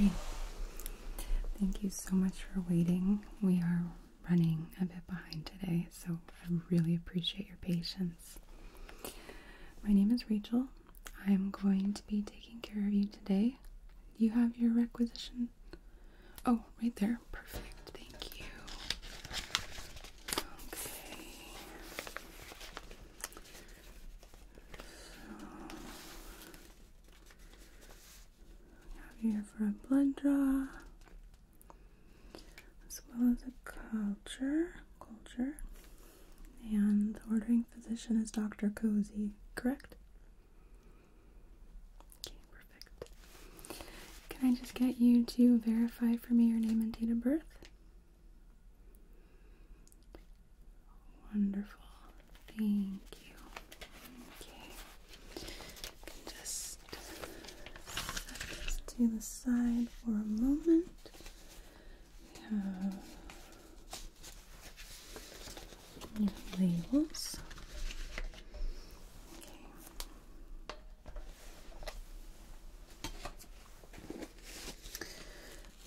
Hey, thank you so much for waiting. We are running a bit behind today, so I really appreciate your patience. My name is Rachel. I'm going to be taking care of you today. You have your requisition. Oh, right there. Perfect. Thank you. Okay. So, have here for a blood draw as well as a culture. Culture. And the ordering physician is Dr. Cozy, correct? Okay, perfect. Can I just get you to verify for me your name and date of birth? Wonderful. Thank you. Okay. Just set this to the side for a moment. We have labels. Okay.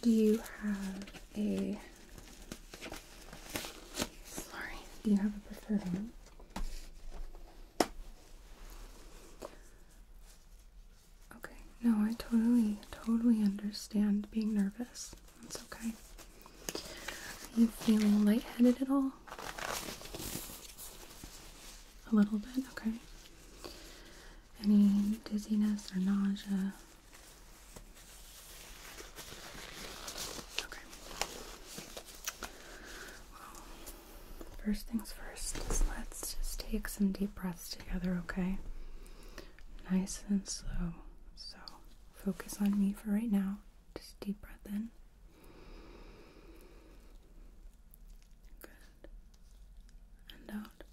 Do you have a sorry, do you have a preferred one? Okay, no, I totally, totally understand being nervous. That's okay. Are you feeling lightheaded at all? A little bit, okay. Any dizziness or nausea? Okay. First things first let's just take some deep breaths together, okay? Nice and slow. So focus on me for right now. Just deep breath in. Good. And out.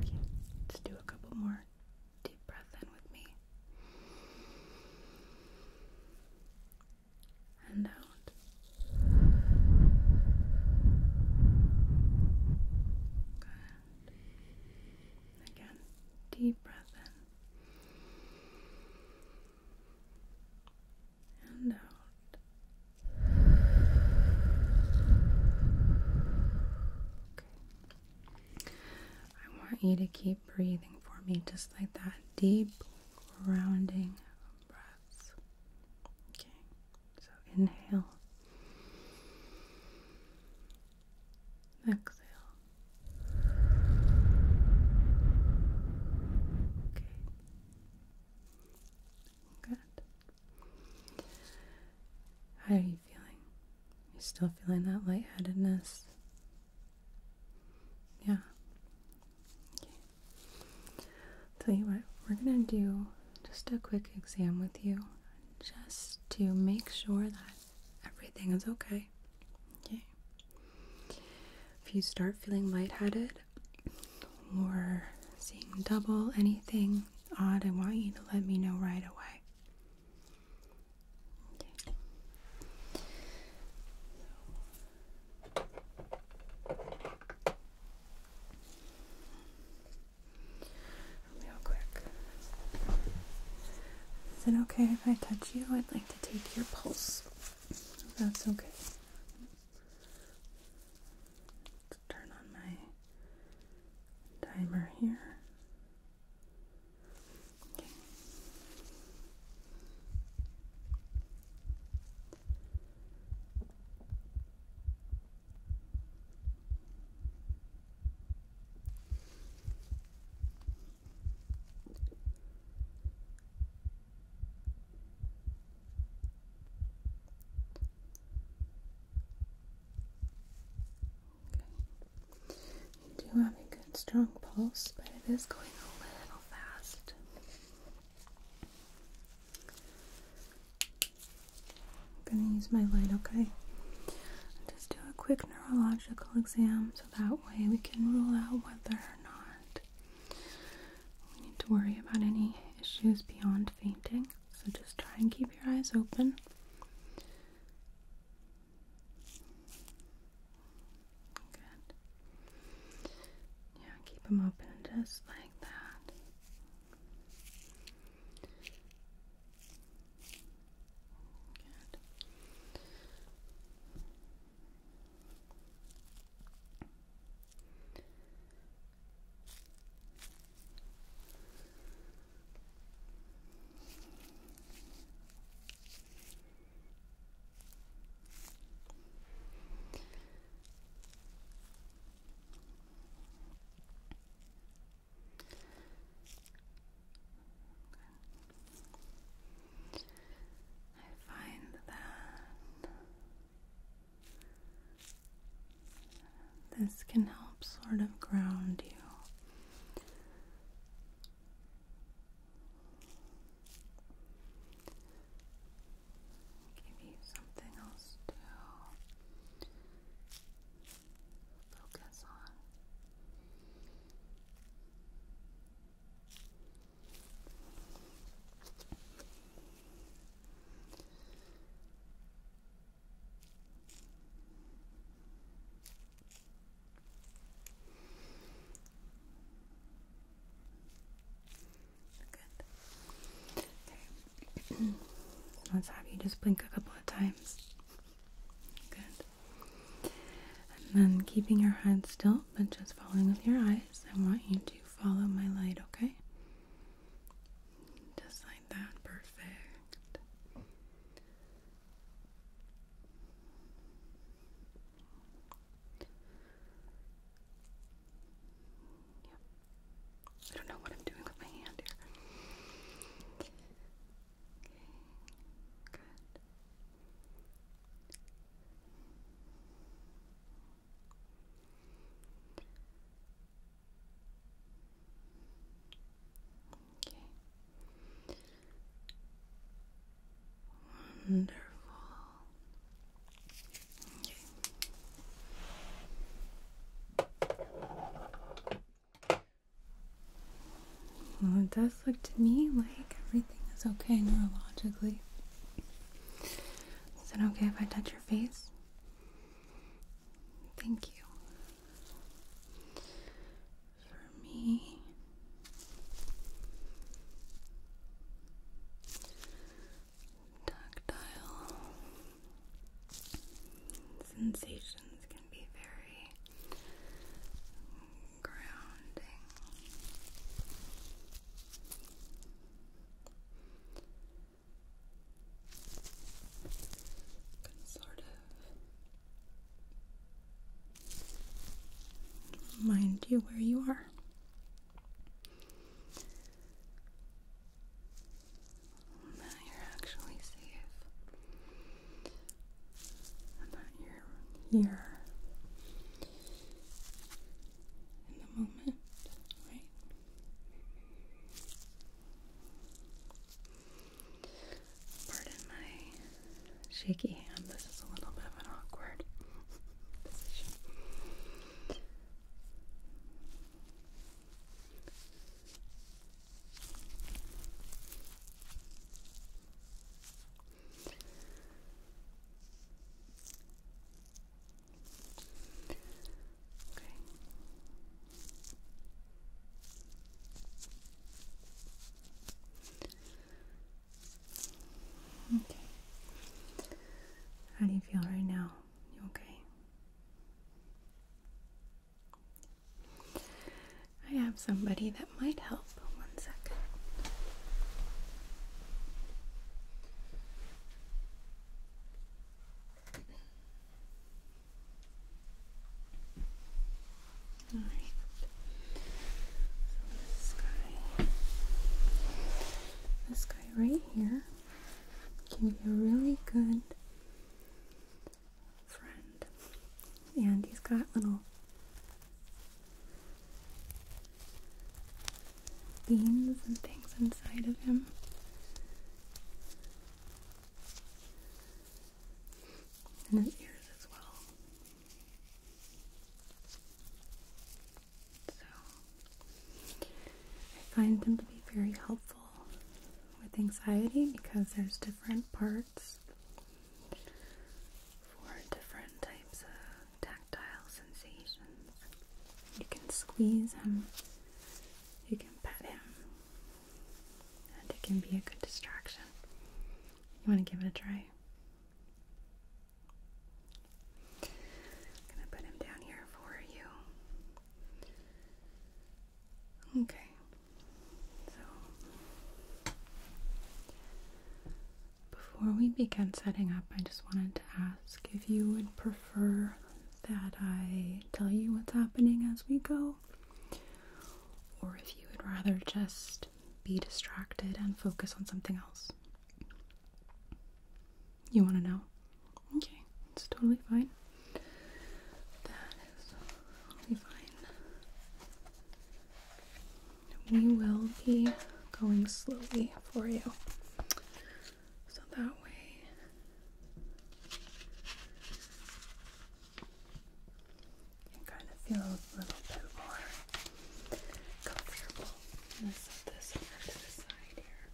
Okay, let's do a couple more. Deep breath in with me and out. Good. Again, deep breath in and out. Okay. I want you to keep breathing for me, just like that. Deep, grounding breaths. Okay, so inhale, exhale. Okay, good. How are you feeling? You still feeling that lightheadedness? Yeah. Okay. Tell you what, we're gonna do just a quick exam with you just to make sure that everything is okay. Okay. If you start feeling lightheaded or seeing double, anything odd, I want you to let me know right away. Real quick. Is it okay if I touch you? I'd like to take your pulse. that's okay. Let's turn on my timer here. Okay. Okay. You have a strong pulse, but it is going a little fast. I'm going to use my light, okay? Just do a quick neurological exam so that way we can rule out whether or not we need to worry about any issues beyond fainting. So just try and keep your eyes open. Yeah, keep them open just like that. Good. I find that this can help sort of ground you Give you something else to focus on. Let's have you just blink a couple of times. Good. And then keeping your head still, but just following with your eyes, I want you to follow my light, okay? Just like that. Perfect. Yep. I don't know what I'm doing with my hand here. Okay, good. Okay. Wonderful. Well, it does look to me like everything is okay neurologically. Is it okay if I touch your face? Thank you for me. Tactile sensations can be very grounding. sort of Remind you where you are. That you're actually safe. And that you're here in the moment, right? Pardon my shaky hand. This is a little bit of an awkward position. Okay. Okay. How do you feel right now? You okay? I have somebody that might help. One second this guy, this guy right here, can be a really good friend, and he's got little beans and things inside of him. And his ears as well. So, I find them to be very helpful with anxiety because there's different parts for different types of tactile sensations. You can squeeze him, you can pet him, and it can be a good distraction. You want to give it a try? gonna put him down here for you. Okay. So before we begin setting up, I just wanted to ask if you would prefer that I tell you what's happening as we go, or if you would rather just be distracted and focus on something else. You want to know? Okay, it's totally fine. That is totally fine. We will be going slowly for you. So that way you kind of feel a little bit more comfortable. Let's set this to the side here.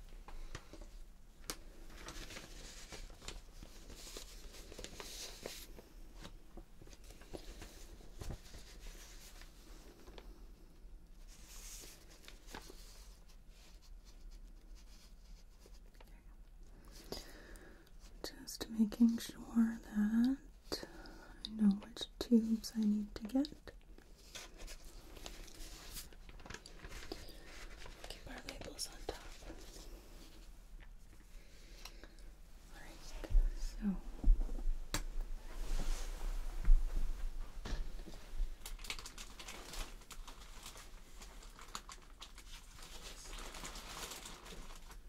Just making sure that I know which tubes I need to get. Keep our labels on top. Alright, so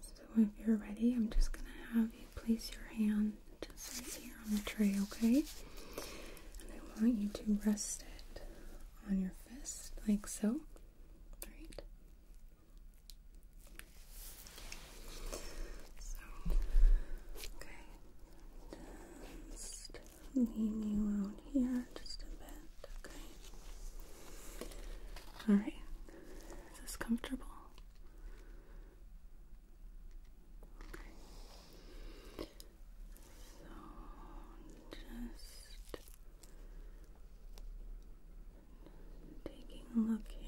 So if you're ready, I'm just going to have you place your hand just right here on the tray, okay? And I want you to rest it on your fist, like so. All right. So, okay. lean you out here just a bit, okay? All right. Is this comfortable? So just taking a look here.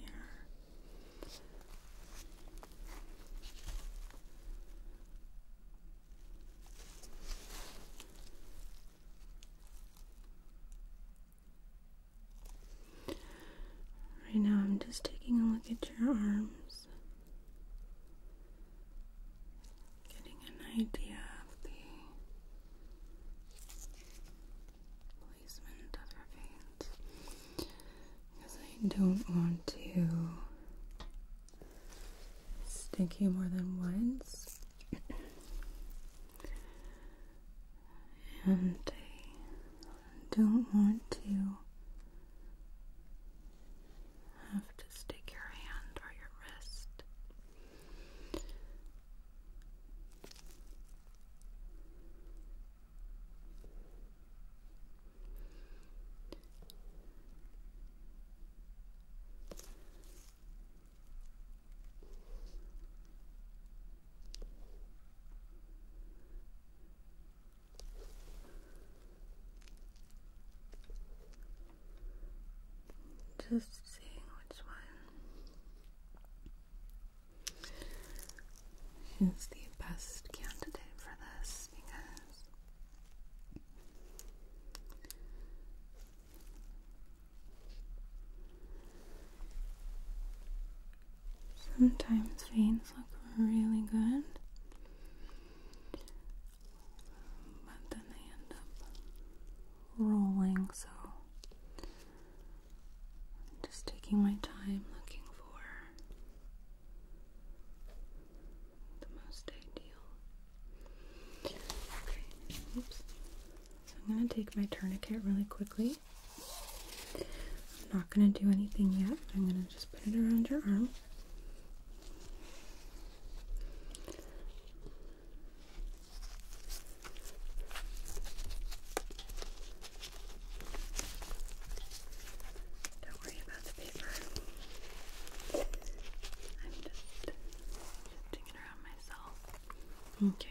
Right now, I'm just taking a look at your arms, getting an idea of the placement of your veins because I don't want to stick you more than once and I don't want to have to stick your hand or your wrist. Just seeing which one is the best candidate for this because Sometimes veins look really good, but then they end up rolling, so just taking my time looking for the most ideal. Okay, oops. So I'm going to take my tourniquet really quickly. I'm not going to do anything yet. I'm going to just put it around your arm. Don't worry about the paper. I'm just shifting it around myself. Okay.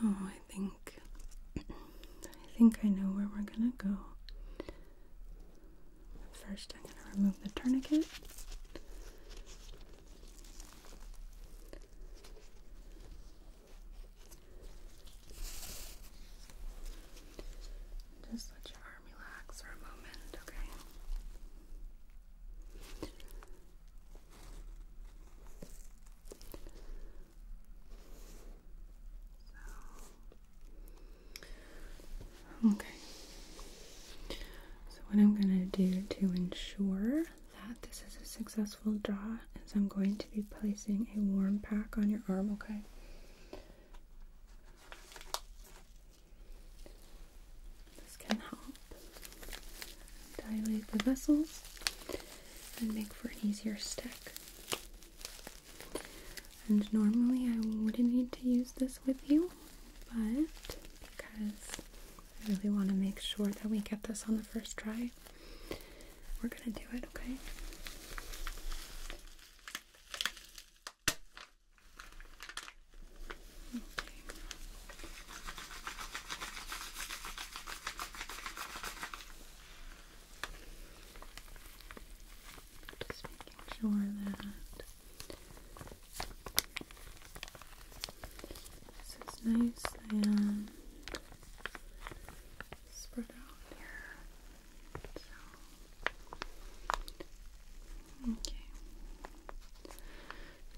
So oh, I think I think I know where we're gonna go. First, I'm gonna remove the tourniquet. Just let your arm relax for a moment, okay? So, okay. So, what I'm going to do to ensure that this is a successful draw is I'm going to be placing a warm pack on your arm, okay? This can help dilate the vessels and make for easier stick. And normally I wouldn't need to use this with you, but because I really want to make sure that we get this on the first try, we're going to do it, okay? Okay. Just making sure that this is nice and spread out here. okay.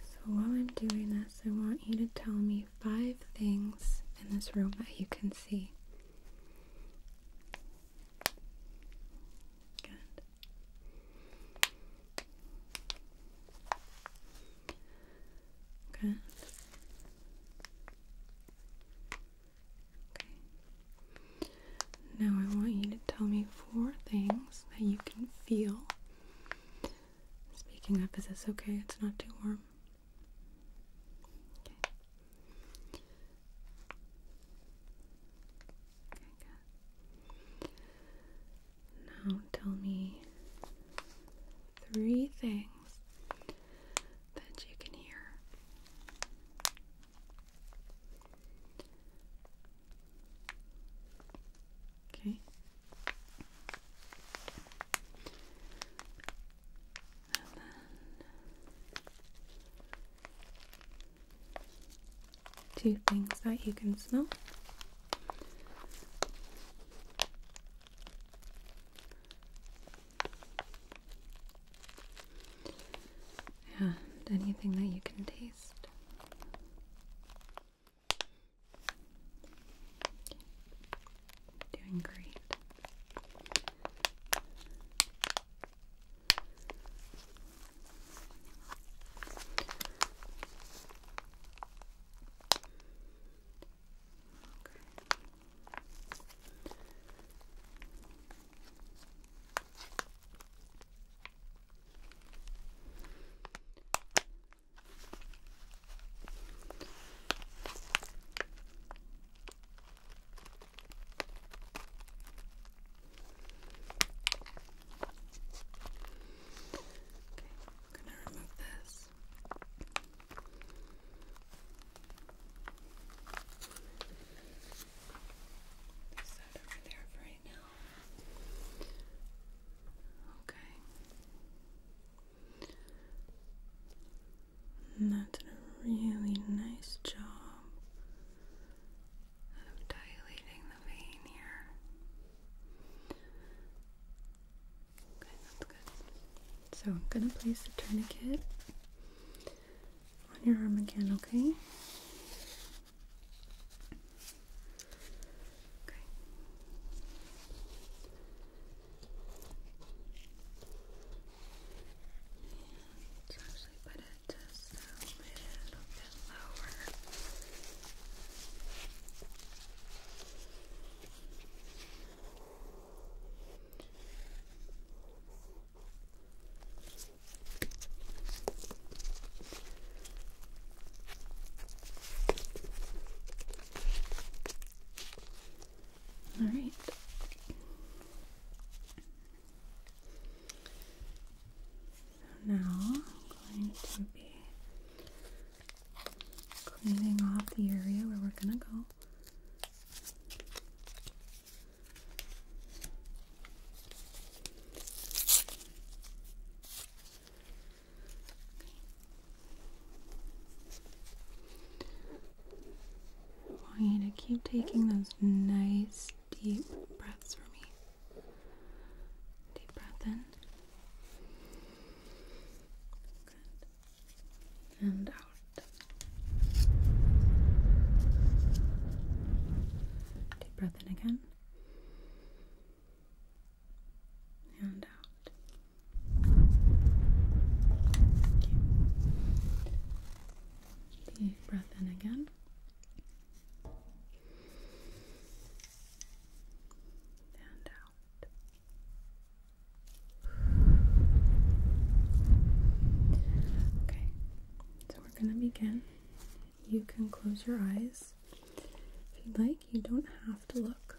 So while I'm doing this, I want you to tell me five things in this room that you can see. Good. Okay. Now I want you to tell me four things that you can feel. Speaking up, is this okay? It's not too warm. Okay. Okay, Now tell me three things that you can hear. Okay two things that you can smell. And anything that you can taste. Doing great. I'm going to remove this. Is over there for right now? Okay. And that did a really nice job of dilating the vein here. Okay, that's good. So I'm gonna place the tourniquet on your arm again, Okay. Let's actually put it just a little bit lower. Okay. All right. now I'm going to be cleaning off the area where we're going to go. I want you to keep taking those nice deep breaths for me. Deep breath in. And out. Deep breath in again. And out. Deep breath in again. And out. Okay, so we're going to begin. You can close your eyes if you'd like. You don't have to look.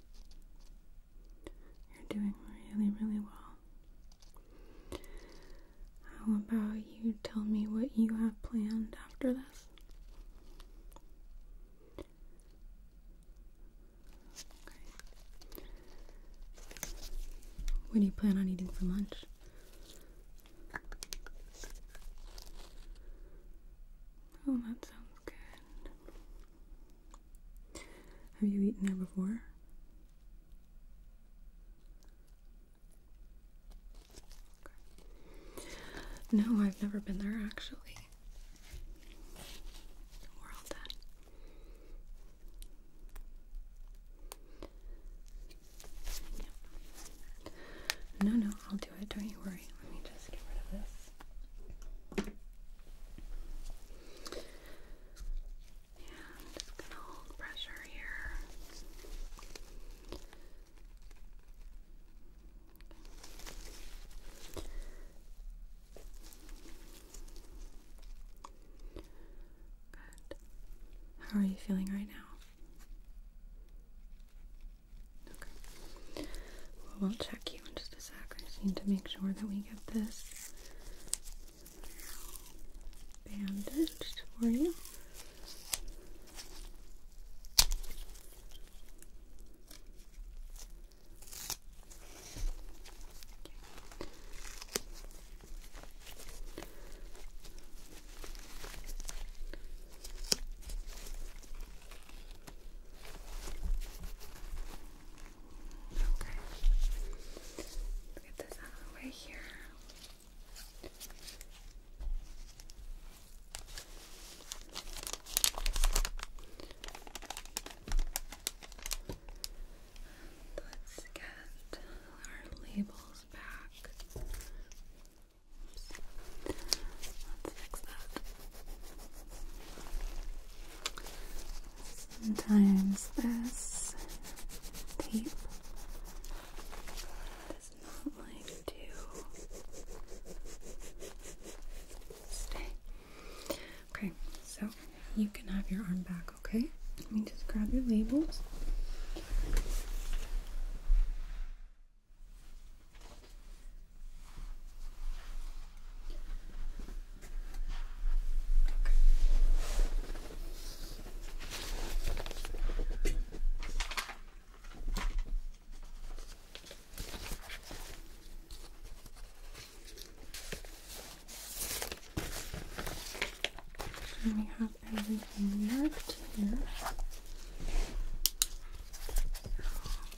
You're doing really, really well. How about you tell me what you have planned after this? What do you plan on eating for lunch? Oh, that sounds good. Have you eaten there before? No, I've never been there actually. No, no, I'll do it. Don't you worry. Let me just get rid of this. Yeah, just gonna hold pressure here. Good. How are you feeling right now? Okay. we'll check you in just a sec. I just need to make sure that we get this bandaged for you. Okay. let get this out of the way here. let's get our labels back. Let's fix that. Sometimes this tape does not like to stay. Okay, so you can have your arm back, okay? Let me just grab your labels. And we have everything marked here.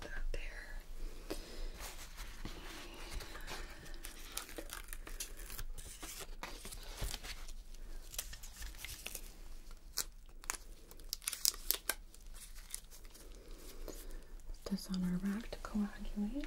That there. put this on our rack to coagulate.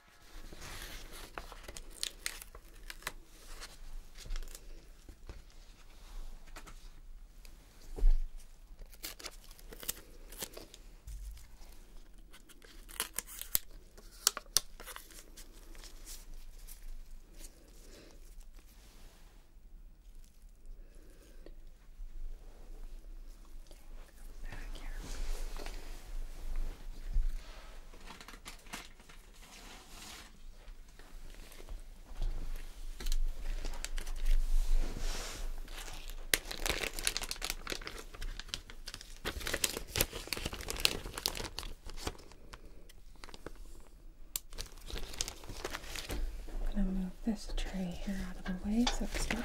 Back here. I'm going to move this tray here out of the way so it's not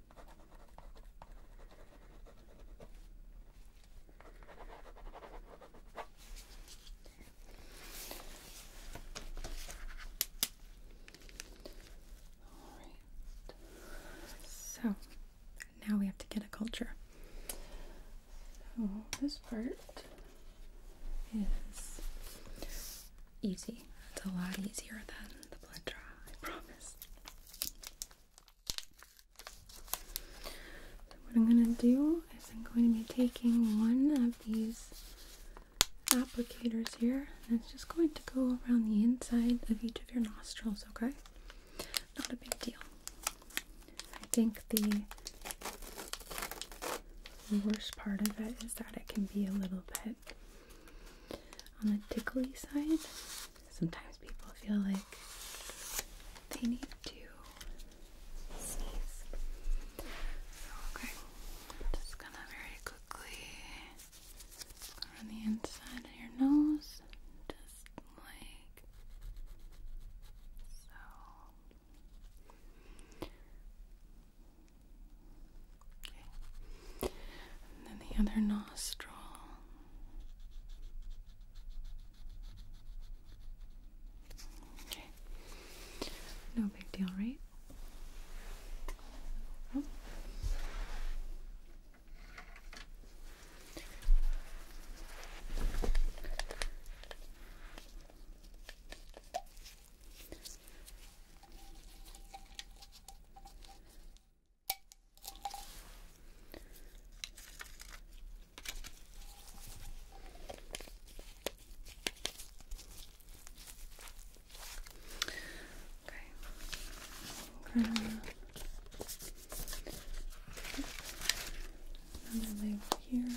So now we have to get a culture. this part is easy. It's a lot easier than the blood draw, I promise. So what I'm going to do is I'm going to be taking one of these applicators here and it's just going to go around the inside of each of your nostrils, okay? Not a big deal. I think the worst part of it is that it can be a little bit on the tickly side sometimes people feel like they need to sneeze. okay, just gonna very quickly on the inside of your nose, just like so. And then the other nostril. Okay. No big deal, right? Okay. Another layer here. So.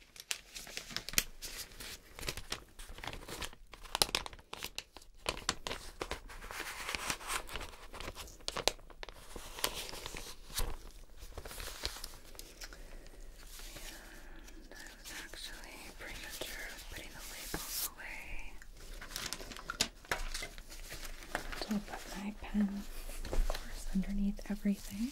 And I was actually premature putting the labels away. So i my pen, of course, underneath everything.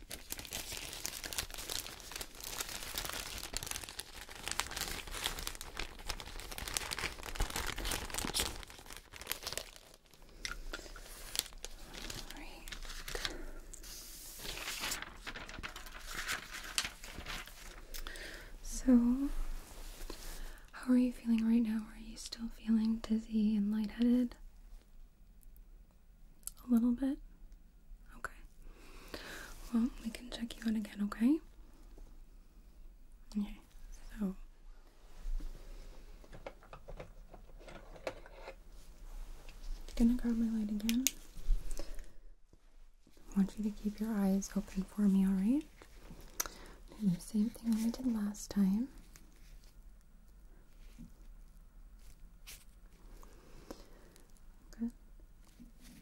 So, how are you feeling right now? Are you still feeling dizzy and lightheaded? A little bit? Okay. Well, we can check you in again, okay? Okay, so. I'm gonna grab my light again. I want you to keep your eyes open for me, alright? Do same thing I did last time. Okay. Okay. Excellent.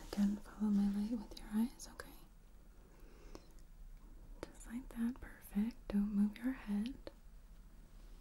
Okay. again, follow my light with your eyes, okay? Just like that, perfect. Don't move your head.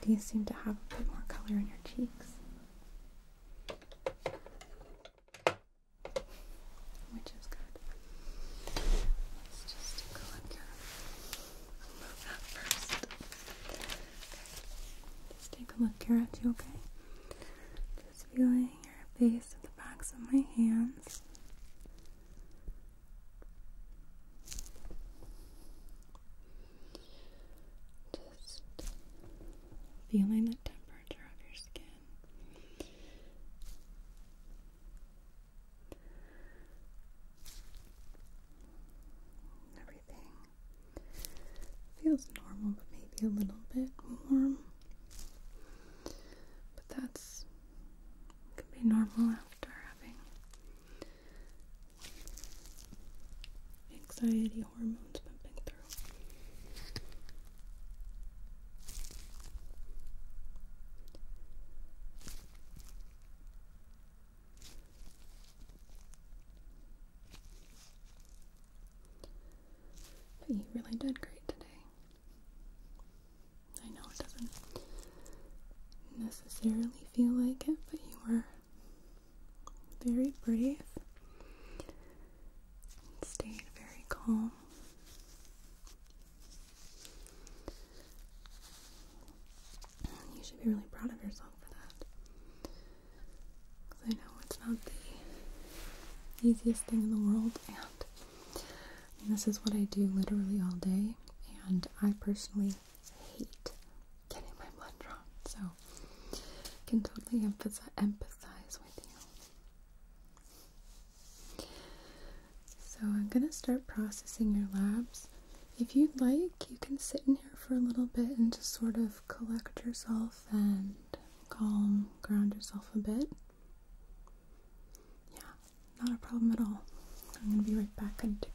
Do you seem to have a bit more color in your cheeks, which is good. Let's just go up here. i that first. Okay. take a look here at you, okay? Just feeling your face with the backs of my hands. Just feeling the temperature of your skin. Everything feels normal, but maybe a little bit warm. But that's can be normal after having anxiety hormones pumping through. But you really did great today. I know it doesn't necessarily feel like it, but you were very brave, stayed very calm. You should be really proud of yourself for that. Because I know it's not the easiest thing in the world, and this is what I do literally all day. And I personally I hate getting my blood drawn, so I can totally empathize, empathize with you. So I'm gonna start processing your labs. If you'd like, you can sit in here for a little bit and just sort of collect yourself and calm, ground yourself a bit. Yeah, not a problem at all. I'm gonna be right back in to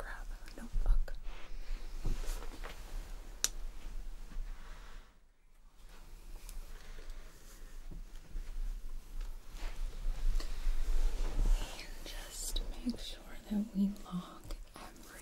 just make sure that we log everything.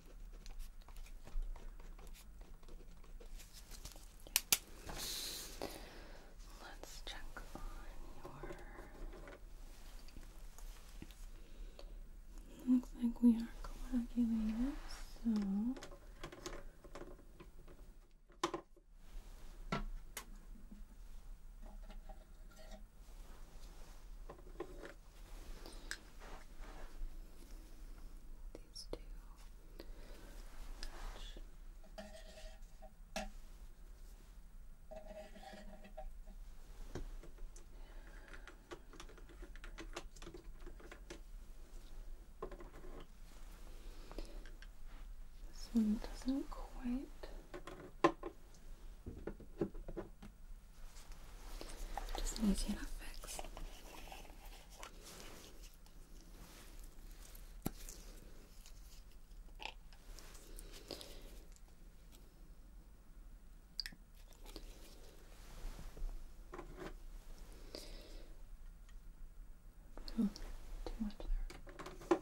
Let's check Looks like we are coagulated, so. These two This one doesn't quite. Just an easy enough fix. Oh, too much there.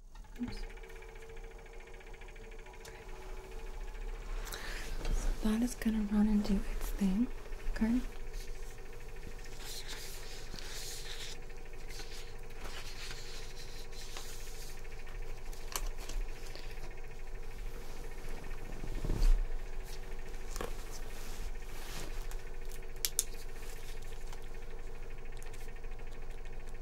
So that is gonna run and do its thing, okay?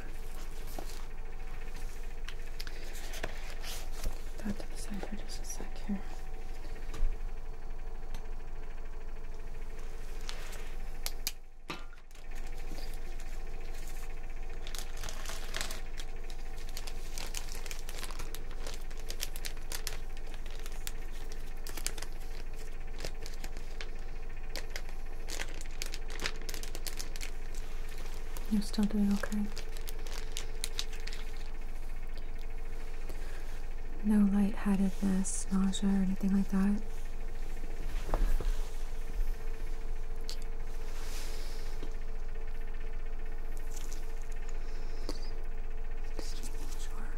Back to the side for just a sec here. You're still doing okay. No lightheadedness, nausea, or anything like that. Just sure.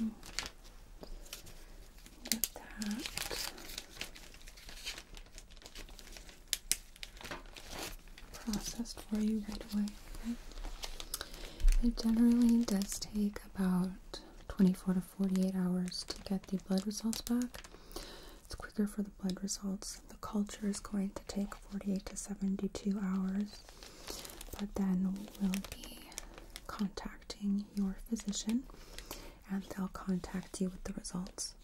Mm. Get that. Processed for you right away. It generally does take about 24 to 48 hours to get the blood results back. It's quicker for the blood results. The culture is going to take 48 to 72 hours, but then we'll be contacting your physician and they'll contact you with the results.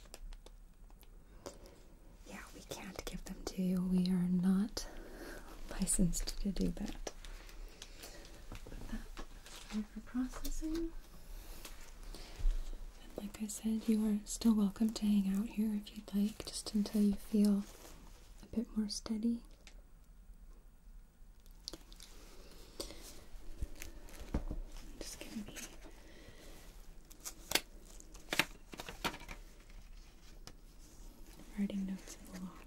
Yeah, we can't give them to you. We are not licensed to do that that for processing. And like I said, you are still welcome to hang out here if you'd like, just until you feel a bit more steady. just gonna be writing notes in the log.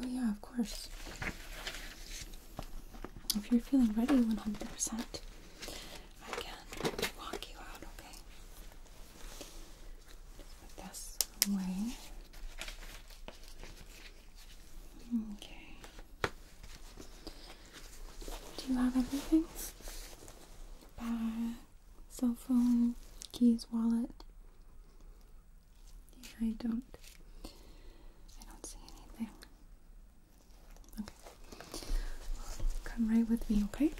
Oh, yeah, of course. If you're feeling ready 100%, I can walk you out, okay? this away. Okay. Do you have everything? Bag, cell phone, keys, wallet. I don't. I don't see anything. Okay. Come right with me, okay?